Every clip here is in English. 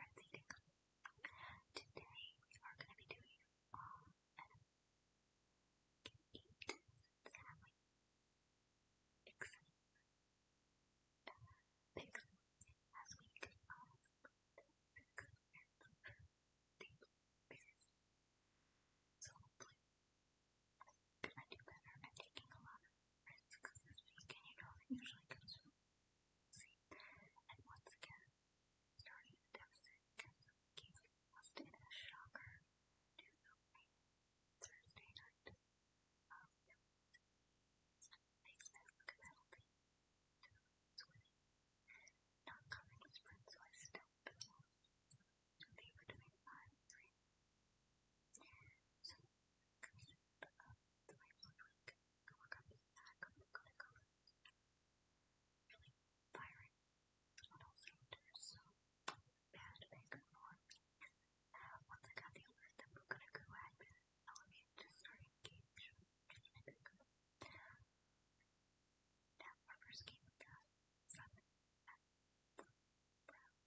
I'm Zedek. Today we are going to be doing um, an eat family except pigs as we did um, pigs and deep pieces. So hopefully I'm going to do better at taking a lot of risks this week and you know that usually comes and once again, starting the deficit King was a shocker to opening Thursday night. Um, makes this a penalty to winning. Not coming was Prince, so I stepped before. They were doing 5-3. So, because of the way Ludwig Go work on this, that, go to go to colors. Really vibrant little filter, so bad baker more. Uh, once I got the alert that we're gonna go at all of you to start engage. Now our first game we got from uh, Brown.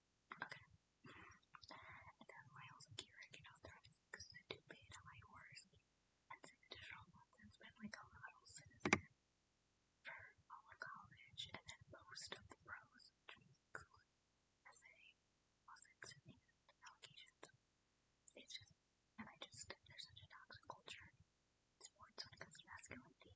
Okay. And then Miles and Kira get out there because they're too big to my horse. And it's an additional month and spend like a model citizen for all of college and then most of the pros, which means cool essay, lawsuits, and allegations. It's just, and I just, there's such a toxic culture. Sports when it comes to masculinity.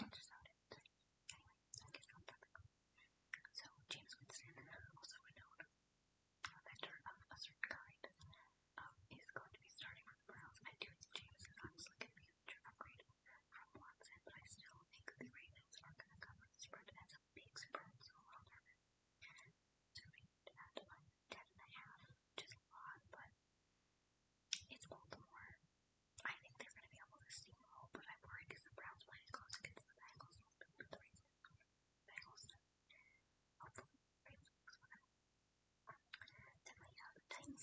Which is how it is. Anyway, I guess I'm technical. So, James Winston, also a known inventor of a certain kind, um, is going to be starting on the grounds. I do think James is obviously going to be a future upgrade from Watson, but I still think the ratings are going to cover the spread as a big spread, so I'm a little nervous. So, we need to add like 10 and a half, which is a lot, but but it's Baltimore. I think they going to be able to but I'm worried because the Browns close against the Bengals. The Bengals. win. Then Lions.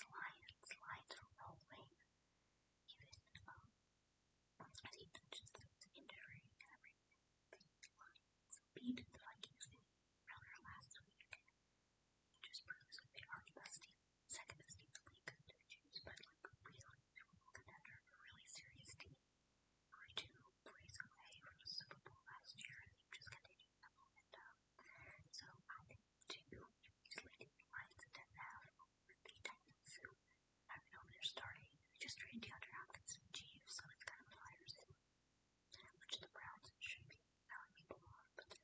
Lions are rolling. Even um, as he touches the injury everything, the Lions beat the Vikings last week. Just proves that they aren't best team, second best team in the league. They're Jews, but like really durable contender, a really serious team. We're two plays away from the Super Bowl last year, and they've just continued that momentum. So I think two is leading the Lions at 10 now with the Titans, who I don't know they're starting. They just trained DeAndre Hopkins and Chiefs, so it's kind of flyers in. Which the Browns should be telling people off, but they're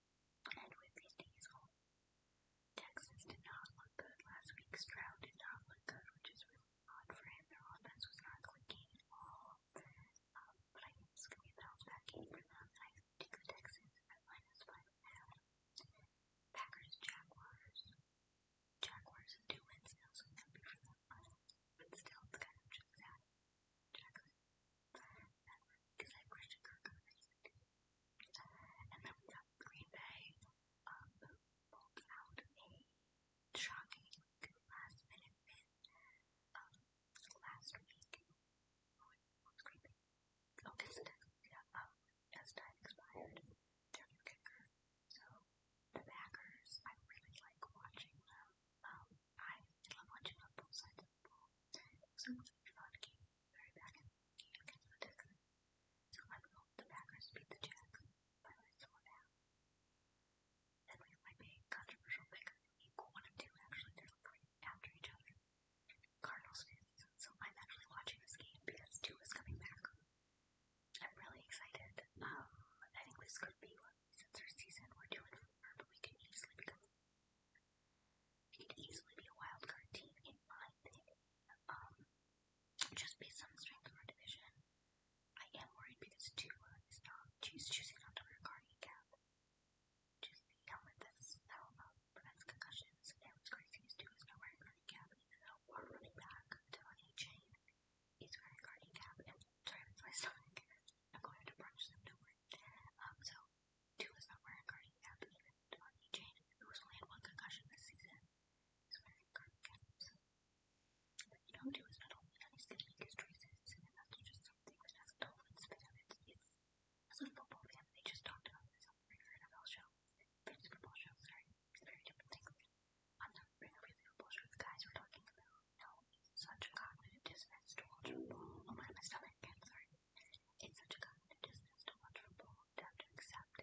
And with these days home, Texans did not look good last week. Stroud did not look good, which is really odd for him. Their offense was not clicking at all. Um, but I think it's going to be a bounce back game for them. And I take the Texans at minus five and a half. Packers, Jaguars. Jaguars and two wins now, so it's going to be for them. But still, it's kind of just that. Jaguars because I have Green Bay, who pulled out a shocking last minute win last week. Oh, it's creepy. as time expired, their new kicker. So, the Packers, I really like watching them. I love watching on both so James Bond came very back and came against the Texan. So I rolled the backers beat the jack, but I saw that. Then we my big controversial pick. Equal one and two actually they're like right after each other. Cardinals fans. So I'm actually watching this game because two is coming back. I'm really excited. Um I think this could be one since our season we're two and four, but we can easily become it could easily be a wild card team in my thing. Um, just based on the strength of our division. I am worried because Tua is not she's choosing not to wear a cardiac cap. Choosing a helmet that's now um, prevents concussions. And what's crazy is Tua's not wearing a cardiac cap, even though our running back, Devontae Chain, is wearing a cardiac cap. And sorry, that's my stomach. I'm going to punch them, don't worry. Um, so Two is not wearing Cardi F, even Donnie Jane, who's only had one concussion this season, is wearing Cardi F's. You know, two is not only unskilled in his choices, and that's just something that hasn't always been of its youth. As a football fan, they just talked about this on the regular NFL show. It's a football show, sorry. It's a very different thing. On the regular football show, the guys were talking about how it's such a cognitive dissonance to watch football. Oh my, my stomach, I'm sorry. In such a kind, it is intelligible that to accept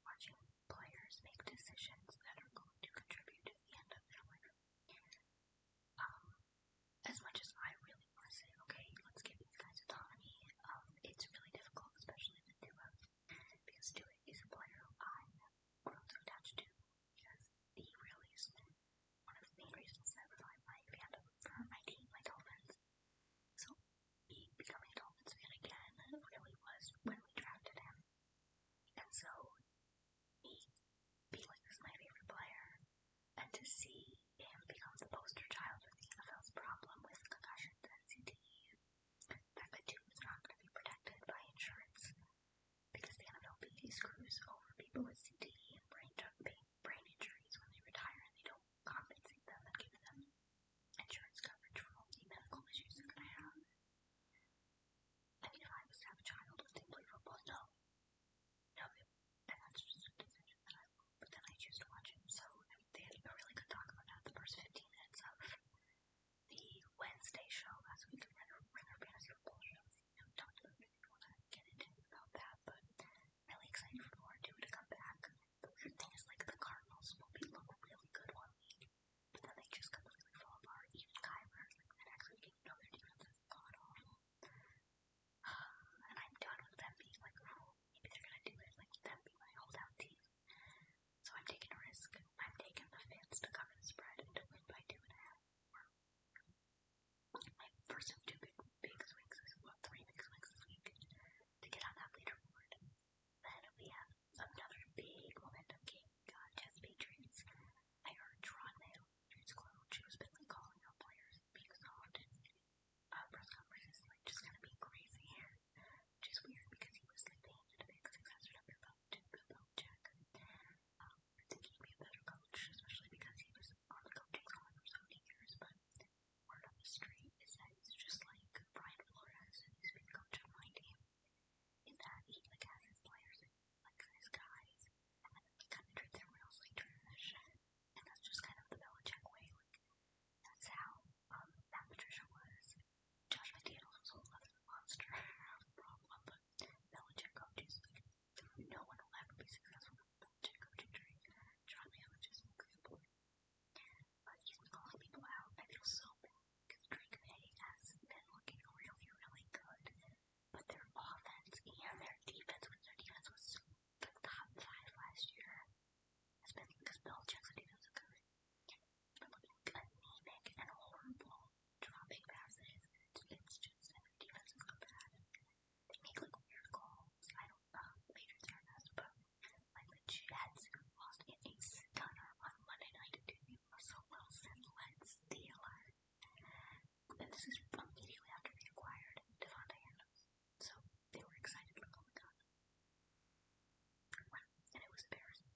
watching players make decisions that are going to contribute to the end of their life. Um, as much as I really want to say, okay, let's give these guys autonomy, um, it's really difficult, especially with Dua, because Dua is a player I grown so attached to, because he really is one of the main reasons that I rely my fandom for my team, my Dolphins. So me becoming a Dolphins fan again really was when we drafted him. And so me being like this my favorite player and to see him become the poster child of the NFL's problem with concussions and CTE, that the tube is not going to be protected by insurance because the NFLPA screws over people with CTE brain, brain injuries when they retire and they don't compensate them and giving them insurance coverage for all the medical issues they're gonna have. I mean, if I was to have a child, would they play football? No. No, they, and that's just a decision that I will, but then I choose to watch it. So, I mean, they had a really good talk about that the first 15 minutes of the Wednesday show last week of Renner, Renner Fantasy Football Show. I talked about it if you want to get into about that, but really excited for Laura 2 to come back. The weird thing is, like, the Cardinals will be look really good one week, but then they just completely fall apart. Even Kyler, like, the next week, even though their defense is god awful. And I'm done with them being like, oh, maybe they're gonna do it, like, them being my holdout team. So I'm taking a risk. I'm taking the fans to cover the spread and to win by two and a half. Or, like, for some two big big swings this week, well, three big swings this week to get on that leaderboard. Then we have another big momentum game, uh, Chess Patriots. I heard Tron Mail, Juice Clone, who's been like calling out players being soft and uh, press conferences, like just kind of being crazy. Which is weird because he was like the hand of it because he passed it up your belt check. Um, I think he'd be a better coach, especially because he was on the coaching squad for so many years, but word on the street is that he's just like Brian Flores, who used to be the coach of my team, in that he like has his players and like his guys, and then he kind of treats everyone else like trash, and that's just kind of the Belichick way. Like that's how um Matt Patricia was. Josh McDaniels was a whole other monster problem, but Belichick coaches like no one will ever be successful with Belichick coaching tree. John Miller just makes the point but even calling people out, I feel so bad because Drake May has been looking really, really good. But their offense and their defense, which their defense was the top five last year, has been because Belichick's defense is good. But looking anemic and horrible, dropping passes to Fitzgerald, and their defense is good bad. They make like weird calls. I don't know, um, Major Terrorist, but like the Jets lost in a stunner on Monday night to the Russell Wilson led Steelers. And this is immediately after they acquired Devontae Adams. So they were excited for going on. Well, and it was embarrassing.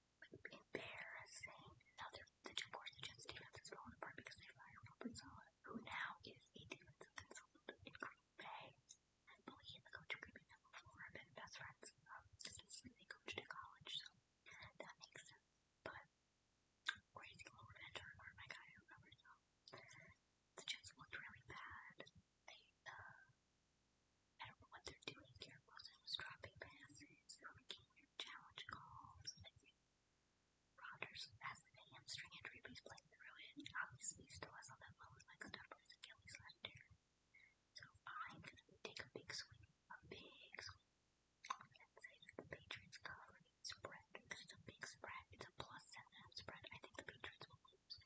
Embarrassing. Now the two boards, the Jets defense is falling apart because they fired Robert Sala, who now is a defensive consultant in Faye and Billy and the coach are grouping them over have been best friends. Um, obviously they coached at college, so that makes sense. But crazy little revenge on my guy I remember so the chips looked really bad. They uh I don't know what they're doing here. Wilson was dropping passes, they were making weird challenge calls. I think Rogers has the hamstring injury, but he's playing through it. Obviously, he still has all that moment like stuff of the Gillies Lender. So I'm going to take a big swing, a big swing. I'm going to say that the Patriots cover the spread because it's a big spread. It's a plus 7.5 spread. I think the Patriots will lose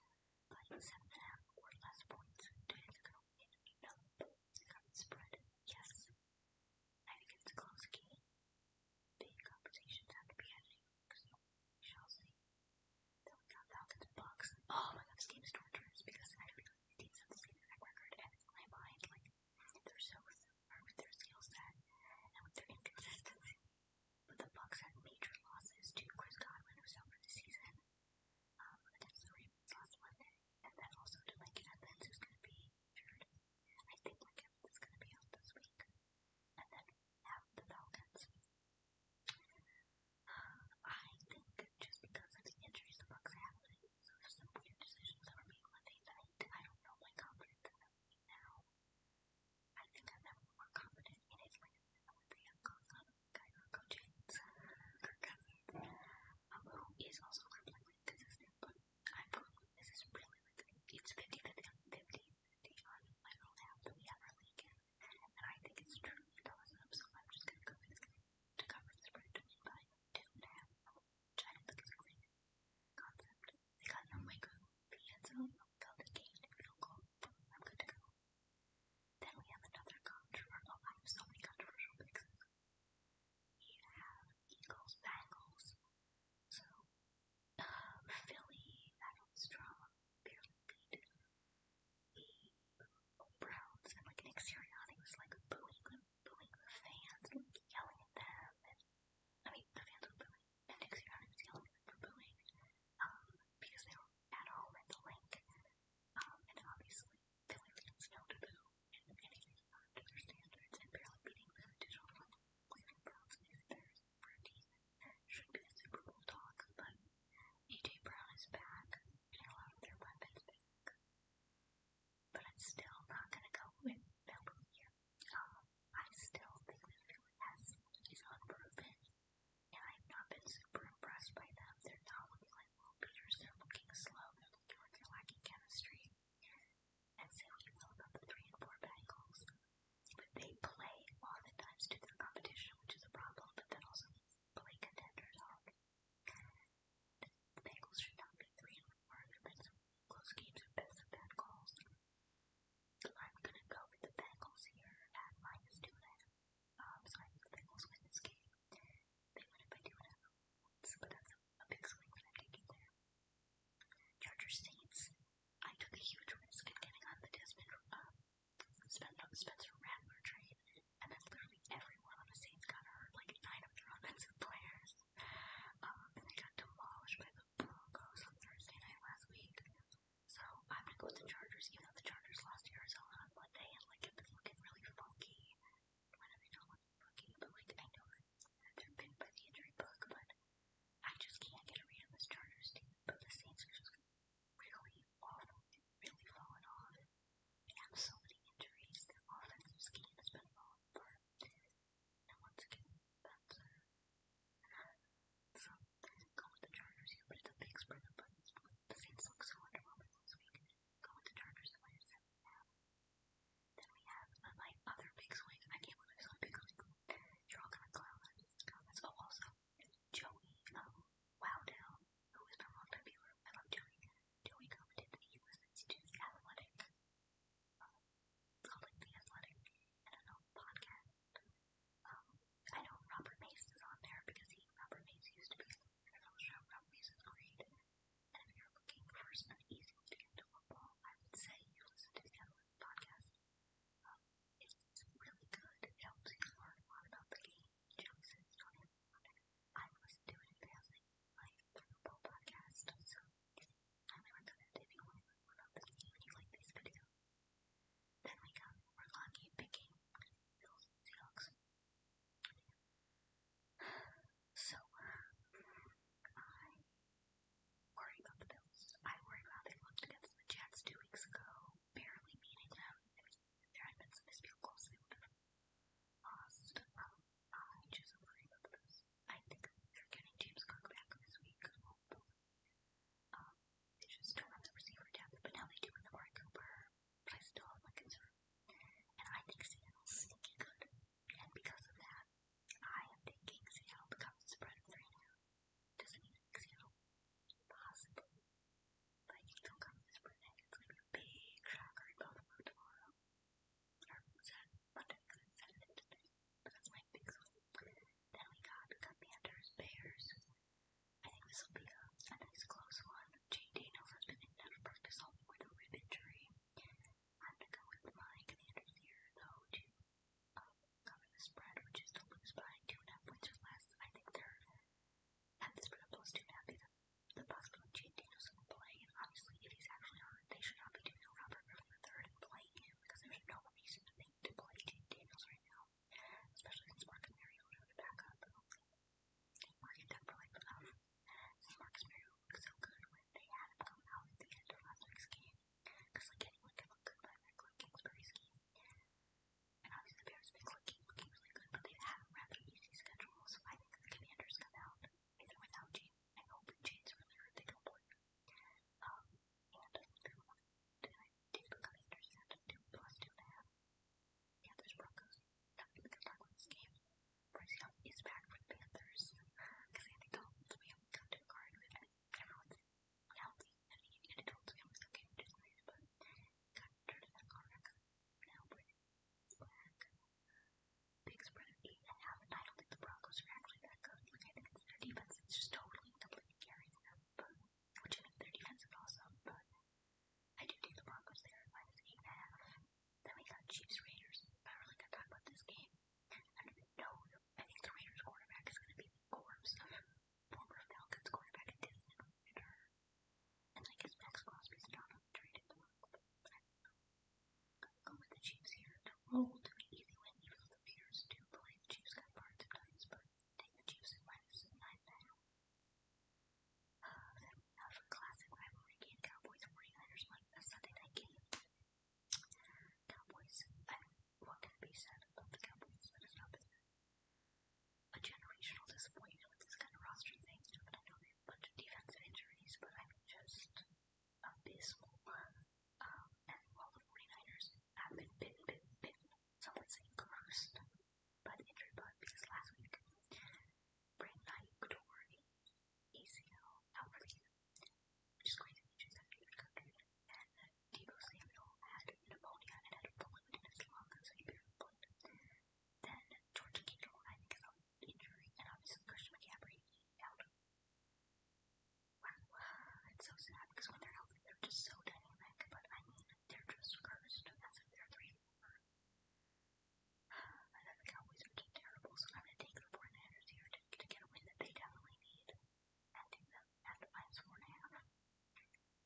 by 7.5 or less points. Do you think they're going to win? No. They got the spread. Yes. I think it's a close game. Big conversations have to be happening. Chelsea. Then we got Falcons and Bucks. Oh my god, this game is torturous because I feel like the teams have the same exact record and in my mind, like, they're so far with their skill set and with their inconsistency. But the Bucks had major losses to Chris Godwin, who's out for the season, um, against the Ravens last Monday, and then also to Mike Evans, who's going to be injured. I think Mike Evans is going to be out this week. And then now the Falcons I think just because of the injuries the Bucks have, so there's some weird decisions that were made when they died. I don't know my confidence in them now. I think I'm never more confident in Atlanta than when they have gone on Kyler Cousins, Kirk Cousins, um, who is also completely consistent, but I probably, this is really like, it's 50-50 on 50, 50 on, I don't have, but we have our league in and I think it's true, he tells them, so I'm just gonna go with this to cover the spread by two and a half, which I don't think oh, is a great concept. They got no way go, Piazza, Felda Gate, and Bill Gold. I'm good to go. Then we have another controversial, oh, I have so many controversial picks. We have Eagles, Bengals, so, uh, Philly, that was drama barely the crowds and like Nick Sirianni was like booing them, booing the fans, like yelling at them and I mean the fans were booing and Nick Sirianni was yelling at them for booing. Um, because they were at home at the link. Um, and obviously Philly fans know to boo and anything not to their standards and barely beating the digital leaving crowds and visitors. Burney should be a Super Bulldog, but AJ Brown is back, and I love their weapons back. But I'm still not gonna go with Belbulia. Um, I still think that Philly has is unproven, and I've not been super impressed by them. They're not looking like Will Peters, they're looking slow, they're looking like they're lacking chemistry. And say what you will about the three and four Bengals, but they play on oftentimes due to the competition, which is a problem, but that also means play contenders are. The Bengals should not be 3 and 4. They've been some close games with best of bad calls. I'm going to go with the Bengals here at minus 2 and a half. Um, so I think the Bengals win this game. They win it by 2 and a half points, but that's a, a big swing that I'm taking there. Chargers Saints. I took a huge risk in getting on the Desmond um, Spencer ran our trade, and then literally everyone on the Saints got hurt, like nine of their offensive players. Um, and they got demolished by the Broncos on Thursday night last week. So I'm gonna go with the Chargers, even though the Chargers lost to Arizona on Monday, and like it's looking really funky. I know they don't look funky, but like I know that they're pinned by the injury bug, but I just can't get a read on this Chargers team. But the Saints are just really autumn really fallen off, and have so many injuries that our offensive scheme has been falling apart. And once again, so go with the Chargers here, but it's a big spread of The Saints look so underwhelming this week. Go with the Chargers at minus seven and a half. Then we have my other big swing. I can't believe there's a big swing. You're all going Joey um, Wowdow, who was from London Viewer. I love Joey. Joey commented that he listens to the athletic, um, calling the athletic, I don't know, podcast. Um, I know Robert Mace is on there because he, Robert Mace used to be on the show. Robert Mace is great. And if you're looking for an easy way to get into football, I would say you listen to the athletic podcast. Um, it's really good. It helps you learn a lot about the game. Joseph Jordan. I was doing family life football podcast, so I highly recommend if you want to learn more about this game and you like this video. Then we got Orlani picking Bills and Seahawks. So, I worry about the Bills. I worry about they looked against the Jets two weeks ago, barely beating them. I mean, there had been some dispute closely would have caused um, challenges and worry about this. I think they're getting James Cook back this week as well. Um, they just don't have the receiver depth, but now they do with Amari Cooper, but I still have my concern. And I think Seattle's sneaky good, and because of that, I am thinking Seattle becomes the spread of three now. Doesn't mean Seattle possibly Vikings don't come this Monday. It's going to be a big shocker in Baltimore tomorrow. Or Saturday, Monday, because it's Saturday today. But that's my big one. Then we got Commanders, Bears. I think this will be a, a nice close one. Jane Daniels has been in out of practice all week with a rib injury. I'm going to go with my Commanders here, though, to um, cover the spread, which is to lose by two and a half points or less. I think they're and this principle is too bad because the possibility of Jane Danielson playing, and obviously it is actually her, they should not be doing a Robert Griffin III and playing him because there's no reason to think to play Jane Daniels right now, especially since Mark and Mariota are back up. Mark and Doug were like, um, since Mark and Mariota looked so good when they had him come out at the end of last week's game, because like anyone can look good by that like Kingsbury's game. And obviously, the Bears have been looking, looking really good, but they've had a rather easy schedule, so I think the Commanders come out, either without Jane, I hope Jane's really hurt, they don't play. Um, and I think they want to take the Commanders at a 2 plus 2 and a half. Yeah, there's Broncos. Not going to talk about this game. Bryce Young is back for the Panthers, because Andy Dalton's we haven't come to a card with, and everyone's healthy, and Andy Dalton's we haven't come to a card with, but considered the correct now with black. Biggs probably have I don't think the Broncos are actually that good. Like I think it's their defense is just totally completely carrying them, but which I think their defense is awesome, but I do think the Broncos there at minus eight and a half. Then we got Chiefs Raiders. I really gotta talk about this game. I don't even know. I think the Raiders quarterback is gonna be the corpse of former Falcons quarterback and Disney owner. And I guess Max Crosby's not on the the moment, but the Chiefs here. No to an easy win, even the Bears do play Chiefs got parts and dice, but take the Chiefs and minus nine and a half. Uh, then we classic rivalry game, Cowboys and 49ers a Sunday night game. Cowboys, I what can be said about the Cowboys a generational disappointment with this kind of roster and things, but I know they have a bunch of defensive injuries, but I mean, just abysmal. Um, and while the 49ers have been bitten, bitten, bitten, some would say cursed by the injury bug because last week, Brent Knight, Dory, ACL, out for the year, which is crazy injuries that David Cook and Debo Samuel had pneumonia and had a fluid in his lungs, so he barely played. Then George Kittle, I think, is out injury, and obviously Christian McCaffrey out. Wow, it's so sad because when they're healthy, they're just so dynamic. But I mean, they're just cursed as if they're three four. I know the Cowboys are just terrible, so I'm gonna take the 49ers here to, to get a win that they definitely need. And take them at minus four and a half.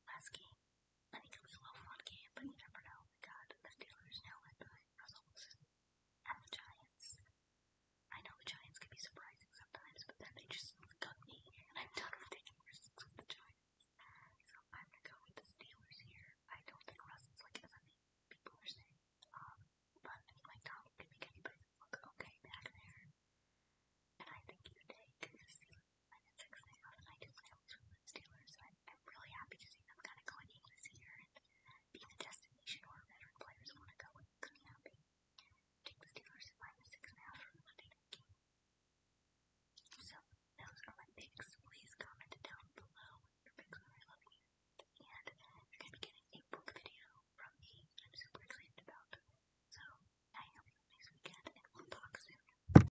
Last game, I think it'll be a low one game, but you never know. We got the Steelers now led by Russell Wilson and the Giants. I know the Giants can be surprising sometimes, but then they just cut me, and I'm done with taking risks with the Giants. So I'm gonna go with the Steelers here. I don't think Russell's like as many people are saying. Um, but I mean, like Donald can make anybody look okay back there. And I think you take the Steelers. And then six, I know that I do films with the Steelers, so I'm, I'm really happy to see them kind of going in this year and being the destination where veteran players want to go and couldn't happy. Take the Steelers at minus six and a half for the Monday night game. So, those are my picks. Please comment down below your picks are I love you. And you're going to be getting a book video from me that I'm super excited about. So, I hope you have a nice weekend and we'll talk soon.